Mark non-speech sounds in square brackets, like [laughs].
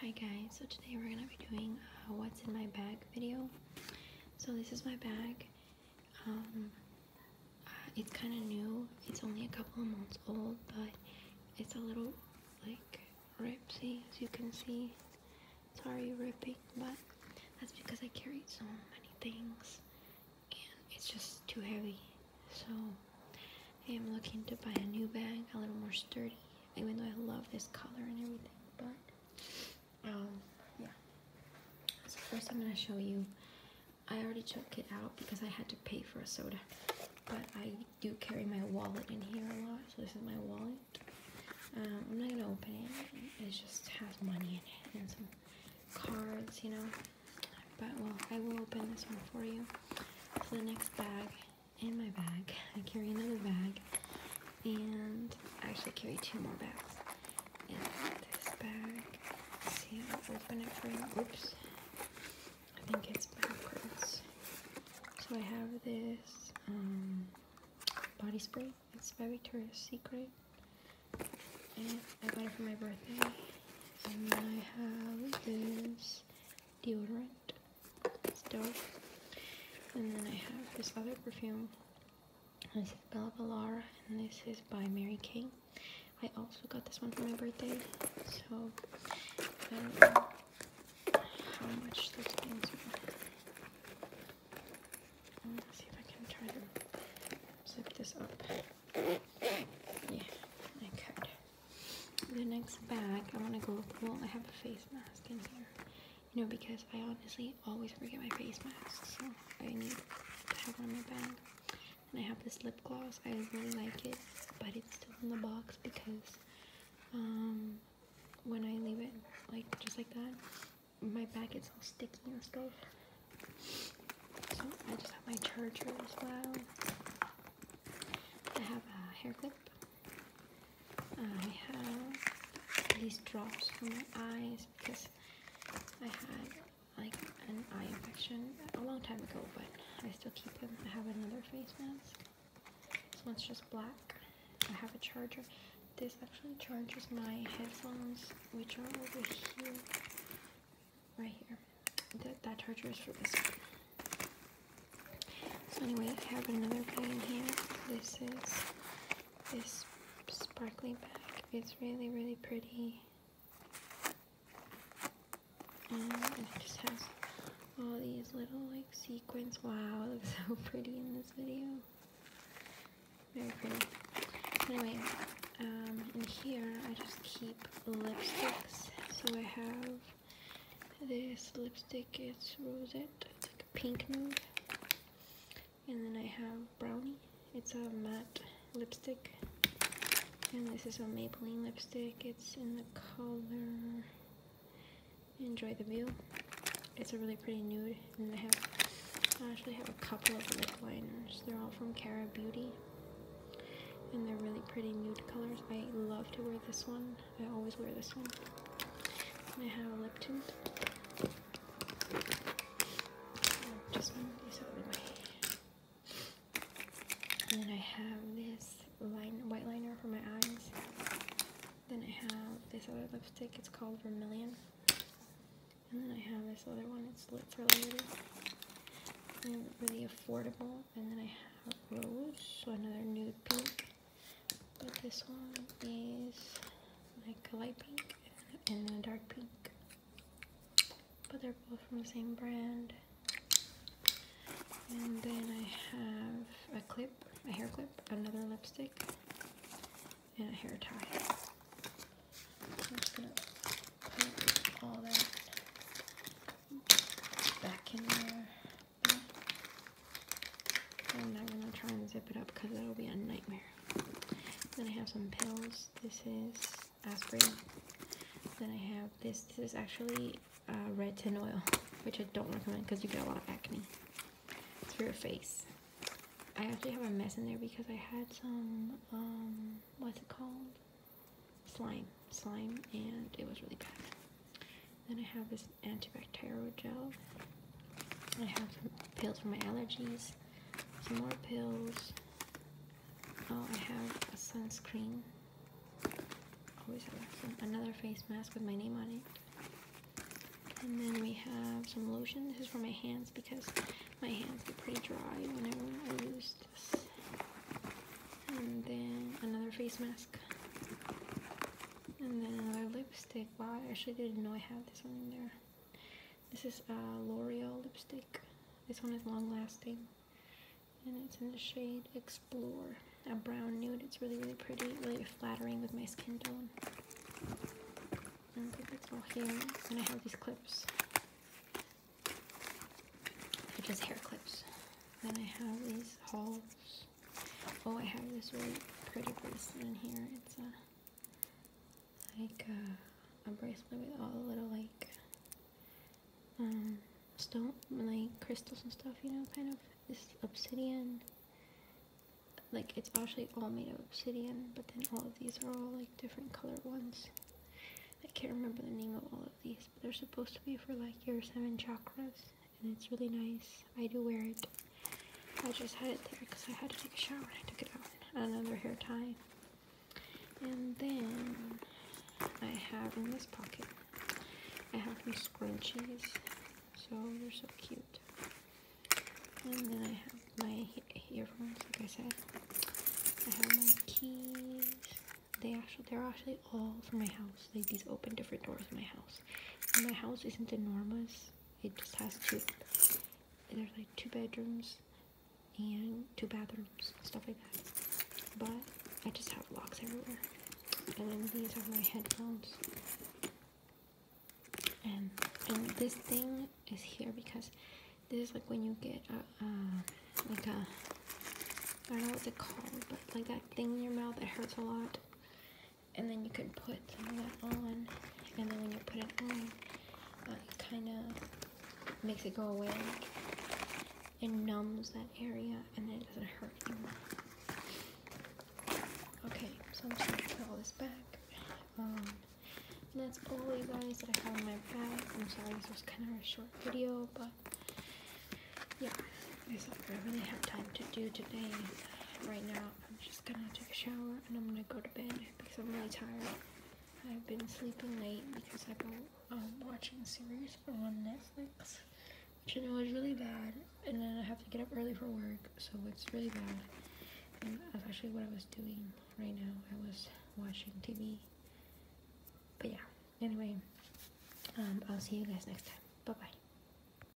Hi guys, so today we're going to be doing uh, what's in my bag video. So this is my bag. Um, uh, it's kind of new. It's only a couple of months old, but it's a little like ripsy as you can see. Sorry ripping, but that's because I carried so many things and it's just too heavy. So I am looking to buy a new bag, a little more sturdy, even though I love this color and everything, but um, yeah. So first I'm gonna show you, I already took it out because I had to pay for a soda, but I do carry my wallet in here a lot, so this is my wallet. Um, I'm not gonna open it, it just has money in it and some cards, you know, but well, I will open this one for you. So the next bag in my bag, [laughs] I carry another bag, and actually carry two more bags. And this bag, Let's see, i open it for you. Oops, I think it's backwards. So I have this um, body spray. It's by Victoria's Secret. And I got it for my birthday. And then I have this deodorant. It's dope. And then I have this other perfume. This is Bella Ballara and this is by Mary King. I also got this one for my birthday. So I don't know how much those things are. see if I can try to zip this up. Yeah, I could. The next bag I want to go Well, I have a face mask in here. You know, because I honestly always forget my face mask, so I need to have one in my bag. And I have this lip gloss. I really like it, but it's still in the box because um, when I leave it like just like that, my bag gets all sticky and stuff. So I just have my charger as well. I have a hair clip. I have these drops for my eyes because I had like an eye infection a long time ago, but I still keep them. I have another face mask. This one's just black. I have a charger. This actually charges my headphones, which are over here, right here. That, charger is for this one. So anyway, I have another bag in here. This is this sparkly bag. It's really, really pretty. Um, and it just has all these little like sequins. Wow, [laughs] it looks so pretty in this video. Very pretty. Anyway, um, in here I just keep lipsticks. So I have this lipstick, it's Rosette, it's like a pink nude. And then I have Brownie, it's a matte lipstick. And this is a Maybelline lipstick, it's in the color enjoy the view. It's a really pretty nude, and I have I actually have a couple of lip liners. They're all from Cara Beauty, and they're really pretty nude colors. I love to wear this one. I always wear this one. I have a lip tint. And then I have this line, white liner for my eyes. Then I have this other lipstick, it's called Vermilion. And then I have this other one, it's lip for Later. really affordable. And then I have Rose, so another nude pink. But this one is like a light pink and a dark pink. But they're both from the same brand. And then I have a clip, a hair clip, another lipstick, and a hair tie. I'm just gonna put all that back in there. I'm not gonna try and zip it up because that'll be a nightmare. Then I have some pills. This is aspirin. Then I have this. This is actually uh, red tin oil, which I don't recommend because you get a lot of acne through your face. I actually have a mess in there because I had some, um, what's it called? Slime. Slime, and it was really bad. Then I have this antibacterial gel. I have some pills for my allergies, some more pills. Oh, I have a sunscreen Always have some, another face mask with my name on it. And then we have some lotion. This is for my hands because my hands get pretty dry whenever I use this. And then another face mask. And then another lipstick. Wow, I actually didn't know I had this one in there. This is a uh, L'Oreal lipstick. This one is long lasting and it's in the shade Explore, a brown nude. It's really, really pretty, really flattering with my skin tone. And it's all hair, and I have these clips. They're just hair clips. Then I have these hauls. Oh, I have this really pretty bracelet in here. It's a like a, a bracelet with all the little like um, stone, like crystals and stuff, you know, kind of. This obsidian, like it's actually all made of obsidian, but then all of these are all like different colored ones. I can't remember the name of all of these, but they're supposed to be for like your seven chakras, and it's really nice. I do wear it. I just had it there because I had to take a shower and I took it out. Another hair tie. And then I have in this pocket, I have some scrunchies. So they're so cute. And then I have my earphones, like I said. I have my keys. They actually, they're actually all for my house. Like these open different doors in my house. my house isn't enormous. It just has two. There's like two bedrooms and two bathrooms, stuff like that. But I just have locks everywhere. And then these are my headphones. And and this thing is here because this is like when you get a, like a I don't know what they called, but like that thing in your mouth that hurts a lot. And then you can put some of that on, and then when you put it on, uh, kind of makes it go away and numbs that area and then it doesn't hurt anymore. Okay, so I'm just going to put all this back. Um, and that's all you guys that I have in my bag. I'm sorry this was kind of a short video, but yeah, that's all I really have time to do today uh, right now. I'm just gonna take a shower and I'm gonna go to bed because I'm really tired. I've been sleeping late because I've been um, watching series on Netflix, which I know is really bad. And then I have to get up early for work, so it's really bad. And that's actually what I was doing right now. I was watching TV. But yeah, anyway, um, I'll see you guys next time. Bye-bye.